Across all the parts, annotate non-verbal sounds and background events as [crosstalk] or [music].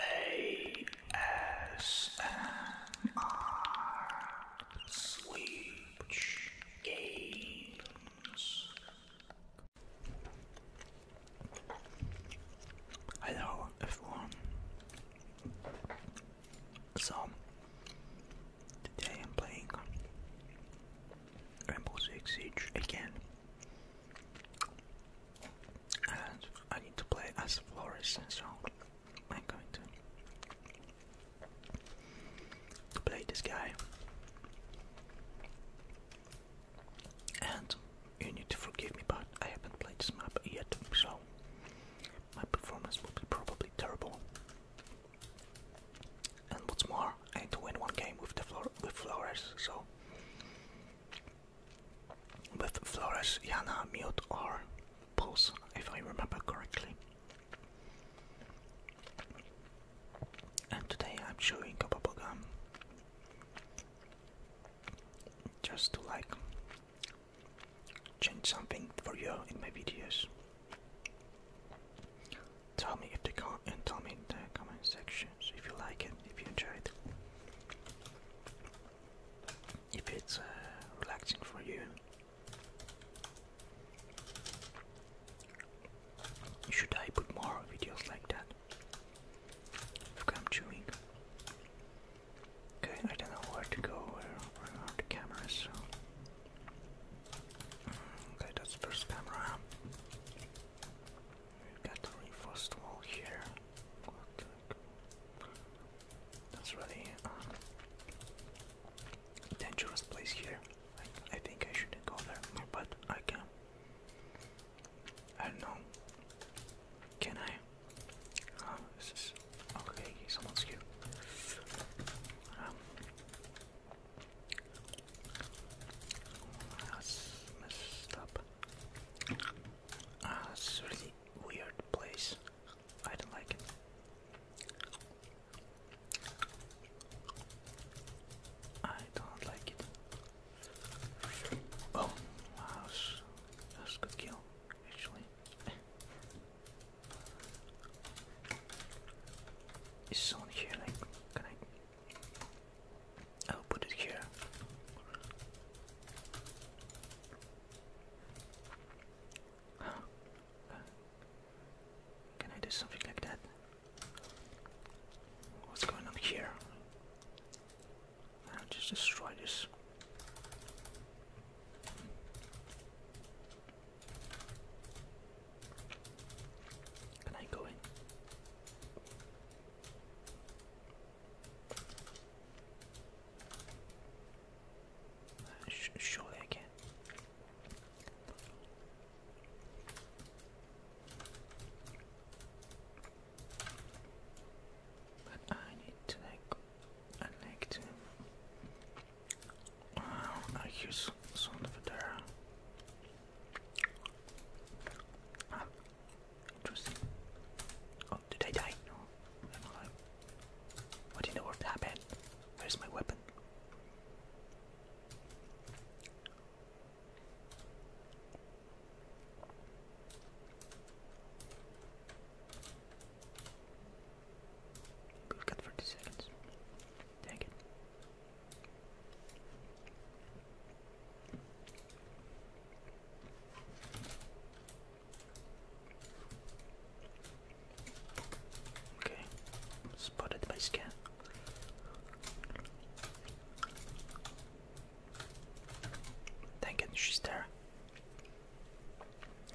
ASMR Switch Games. Hello, everyone. So, today I'm playing Rainbow Six Siege again and I need to play as Flores, and so I'm going to play this guy. And you need to forgive me, but I haven't played this map yet, so my performance will be probably terrible. And what's more, I need to win one game with the with Flores, so with Flores, Yana, Mute, or pause, if I remember correctly. And today I'm chewing a bubblegum just to like change something for you in my videos. Tell me if the and tell me in the comment sections if you like it, if you enjoyed if it's uh, relaxing for you. Should I put more videos like that? Look, I'm chewing. Okay, I don't know where to go, where, are the cameras, Okay, that's first camera we got reinforced wall here. That's really um, dangerous place here. I, think I shouldn't go there, but I can. I don't know. Can I? this is okay. Someone's here. Um, messed up. Ah, it's really weird place. I don't like it. I don't like it. Oh, wow, that's a good kill, actually. it's [laughs] on here? Like, can I I'll put it here. can I do something like that? What's going on here? I'll just destroy this. Can I go in? Surely I can. But I need to like, I like to. Uh, I use Son of a Ah, interesting. Oh, did I die? No, I'm alive. What happened? Where's my weapon? We've got seconds. Dang it. Okay, spotted by scan. Thank it, she's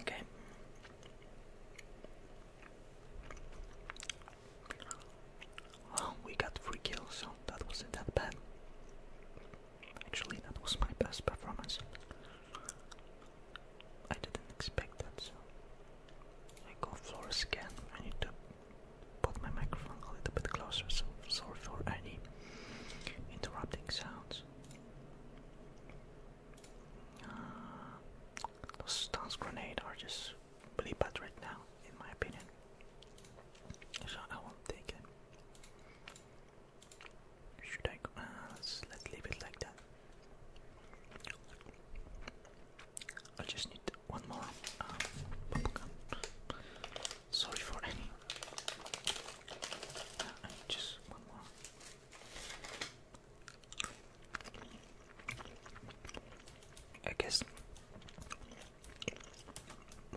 Okay we got three kills, so that wasn't that bad. Actually, that was my best performance. I didn't expect that, so I go floor scan. I need to put my microphone a little bit closer, so sorry for any interrupting sounds. Uh, those stance grenade are just play bad right now, in my opinion. So I won't take him. Should I? Uh, let's, leave it like that. I just need one more um, uh, bubblegum. Sorry for any. Uh, just one more. I guess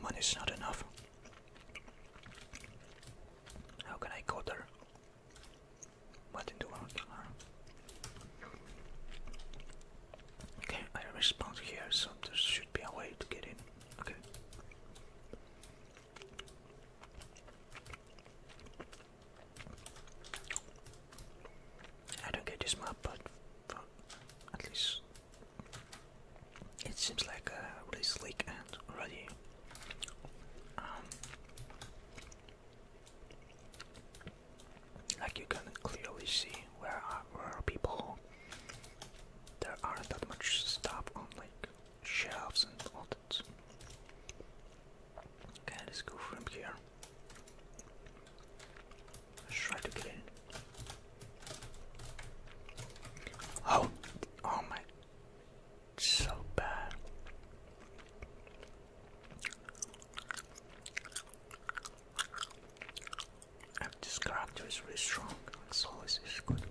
money's not enough. How can I go there? What do I do? Okay, I respawned here, so there should be a way to get in. Okay. I don't get this map, but, at least it seems like uh, a really slick and already um, like you can clearly see where are, where are people. There aren't that much stuff on like shelves and all that. Okay, let's go from here. Let's try to get in. Oh, oh my, so bad. this character is really strong, it's always is good.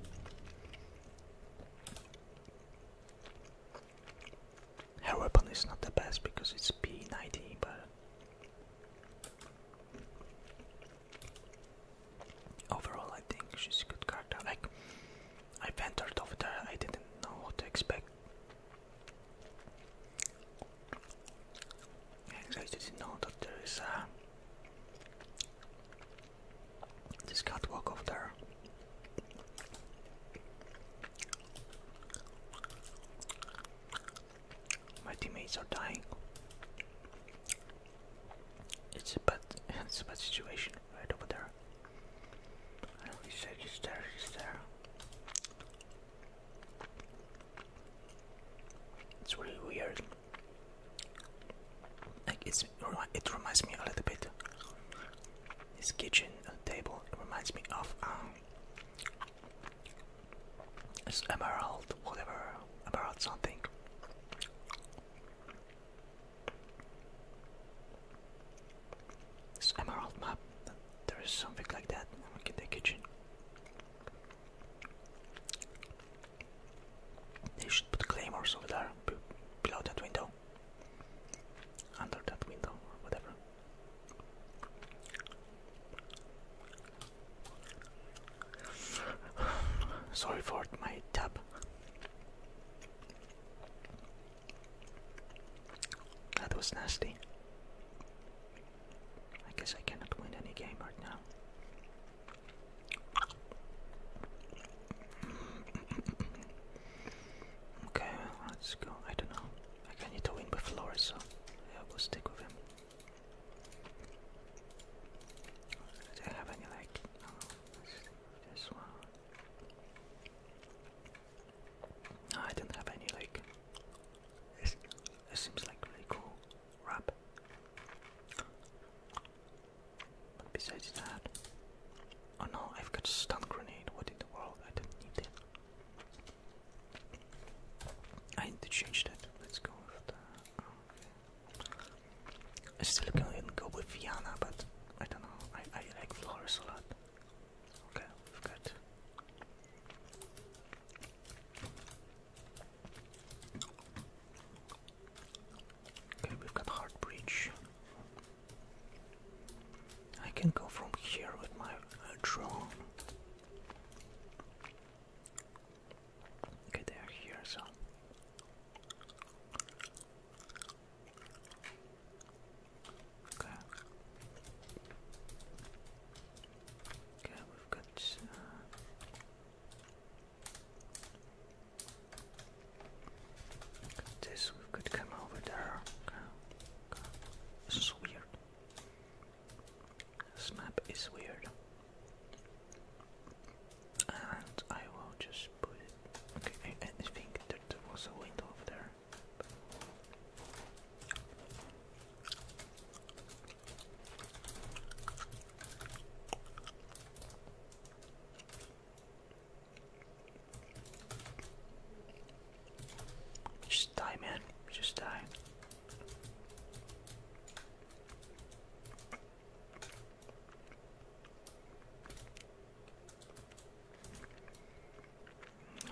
Her weapon is not the best because it's P90, but overall I think she's a good character. Like I entered over there, I didn't know what to expect. And I didn't know that there is a uh, this catwalk over there. My teammates are dying. It's a bad, [laughs] it's a bad situation right over there. he's there, he's there, he's there. It's really weird. Like it's, it reminds me a little bit. This kitchen, table. reminds me of um, it's emerald, whatever, emerald something. It's emerald map. There is something like that. in the kitchen. They should put claymores over there below that window. Under that window or whatever. [sighs] Sorry for my tab. That was nasty. I guess I cannot win any game right now. Okay, let's go. I don't know. I need to win with Flores, so yeah, we'll stick with him. Do I have any like? this one. No, I don't have any like. This, this seems like really cool rap. But besides that, Oh no, I've got stun grenade. What in the world? I didn't need it. I need to change that. Let's go with that. I still can go with Viana, but I don't know. I, I like flowers a lot. Okay, we've got. Okay, we've got Heart Breach. I can go from here with my uh, drone. Okay, they're here, so. Okay. Okay, we've got. Uh, this could come over there. This is weird. This map is weird. And I will just put it. Okay, I, think there was a window over there. Just die, man. Just die.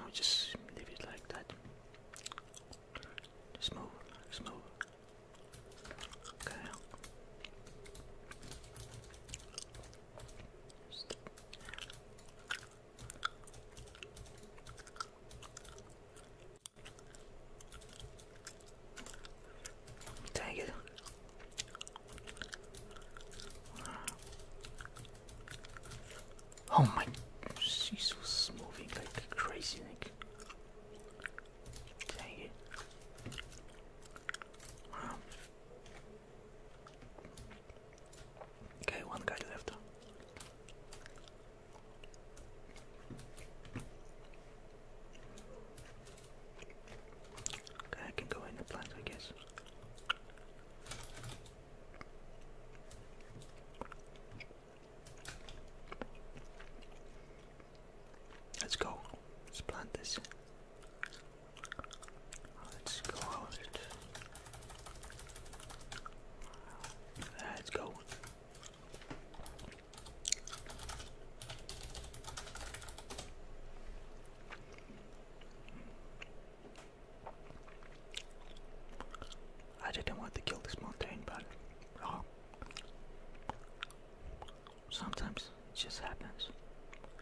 I'll just leave it like that. Just move, just move. Okay. Dang it. Oh my, she's was moving like crazy, Dang it. Um, Okay, one guy left. Okay, I can go in the plant, I guess. Let's go. Let's plant this. Let's go out. Let's go. I didn't want to kill this mountain, but oh sometimes it just happens.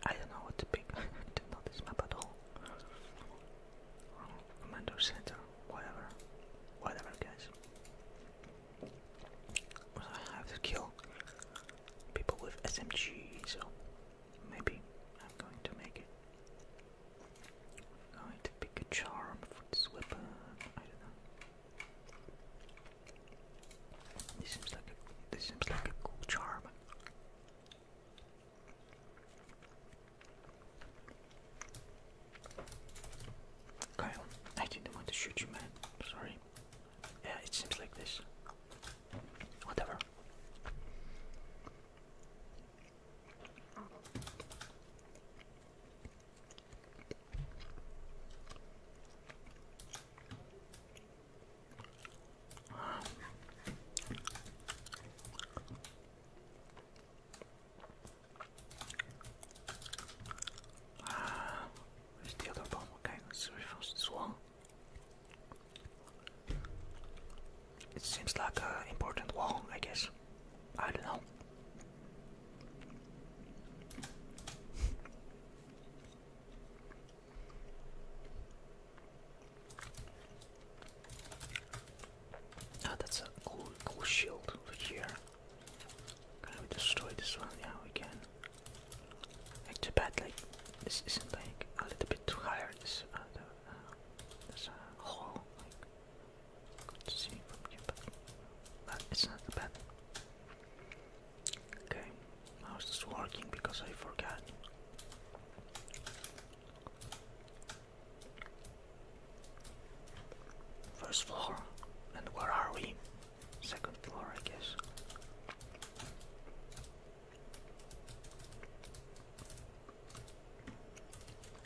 I don't know what to pick. [laughs] I don't know this map at all. Commander Center, whatever. Whatever, guys. I have to kill people with SMG, so maybe I'm going to make it. going to pick a charm for this weapon. I don't know. This seems like a this seems like a cool charm. Kyle, I didn't want to shoot you, man. Sorry. Yeah, it seems like this. Whatever. Uh, where's the other bomb? Okay, let's refresh this one. It seems like an important one, I guess. I don't know. Oh, that's a cool, cool shield over here. Can we destroy this one? now we can. Like too bad, like this isn't like a little bit too higher. This uh, the, hole. Uh, uh, like, good to see from here, but, it's not too bad. Okay, was just working? Because I forgot. First floor, and where are we? Second floor, I guess.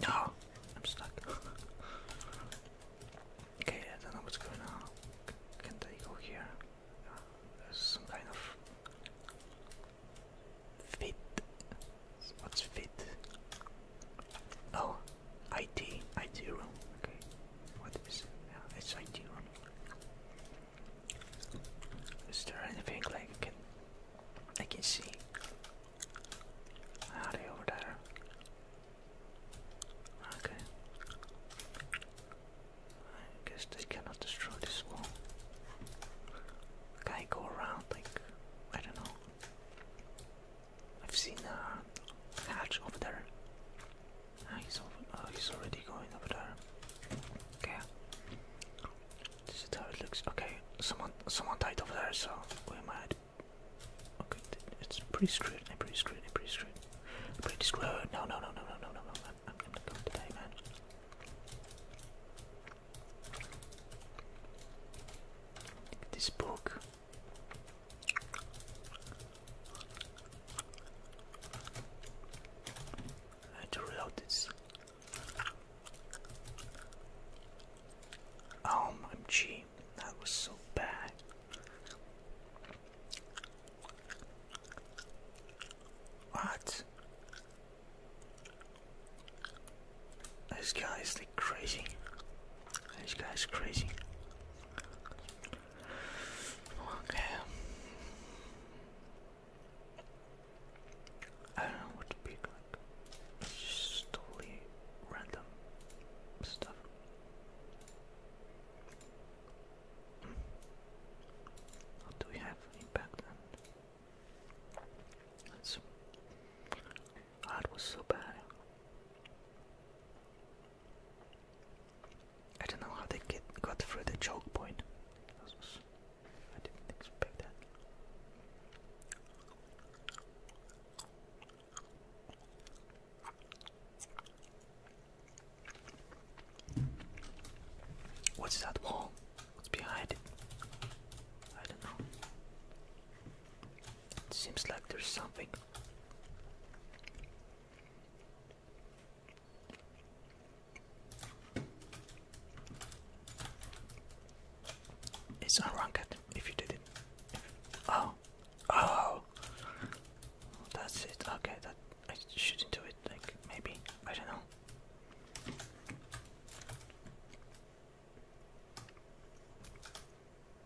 No, ah, I'm stuck. [laughs] Okay, I don't know what's going on. Can they go here? Uh, there's some kind of fit. What's fit? Oh, IT, IT room. Okay, what is Yeah, it's IT room. Is there anything like I can, see? Are over there? Okay. I guess they cannot destroy this wall. Can I go around like I don't know. I've seen a hatch over there. Ah, he's oh, he's already going over there. Okay. This is how it looks. Okay, someone someone died over there, so we are mad. Okay, it's pretty screwed. I'm pretty screwed. I'm pretty screwed. I'm pretty screwed. No, no, no, no, no, no, no, no. I'm, I'm not going to die, man. This book. I had to reload this. Um, oh, I'm G. That was so bad. What? This guy like crazy. This guy crazy. Okay. I don't know what to pick. Like, totally random stuff. What do we have in back then? That's was so bad. I don't know how they get got through the choke point. I didn't expect that. What's that wall? What's behind it? I don't know. It seems like there's something. It's unranked if you did it. Oh, oh, that's it. Okay, that I shouldn't do it. Like maybe I don't know.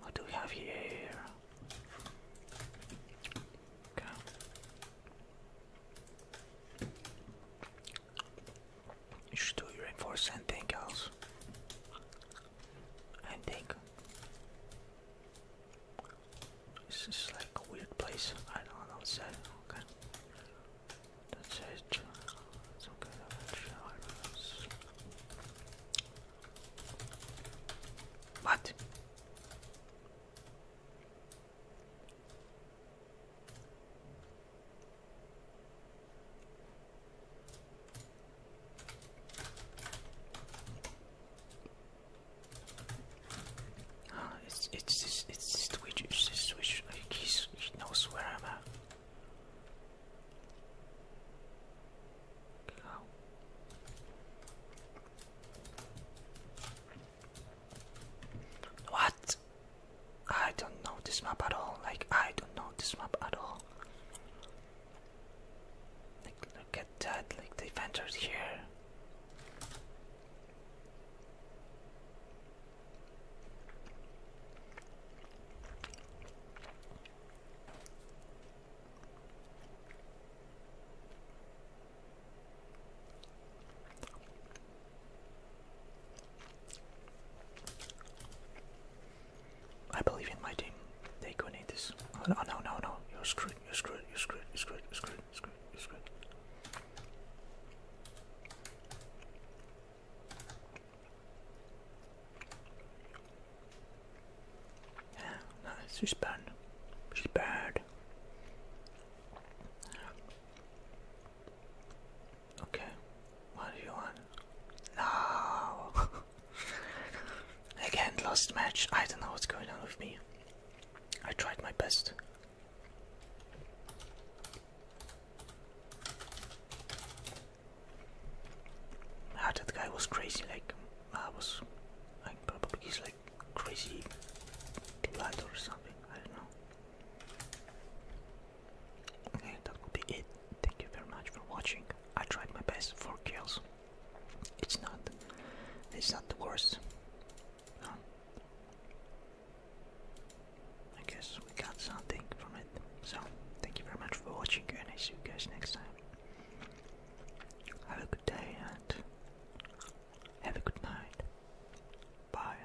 What do we have here? Okay. You should do your and think else. And think. This is like a weird place. I don't know what's that. That's it. What? Ah, [sighs] it's it's this it's this Twitch it's this Twitch like he knows where I'm at. What? I don't know this map at all. Like I don't know this map at all. look at that, like they entered here. I believe in my team. They could need this. Oh, no, no, no, no. You're screwed. You're screwed. You're screwed. You're screwed. You're screwed. You're screwed. You're screwed. Yeah, no, she's bad. She's bad. Okay. What do you want? No. [laughs] Again, lost match. I don't know what's going on with me. I tried my best. Ah, that guy was crazy. Like I was, like probably he's like crazy blood or something. I don't know. Okay, that will be it. Thank you very much for watching. I tried my best, for kills. It's not, it's not the worst. I guess we got something from it. So, thank you very much for watching and I see you guys next time. Have a good day and have a good night. Bye.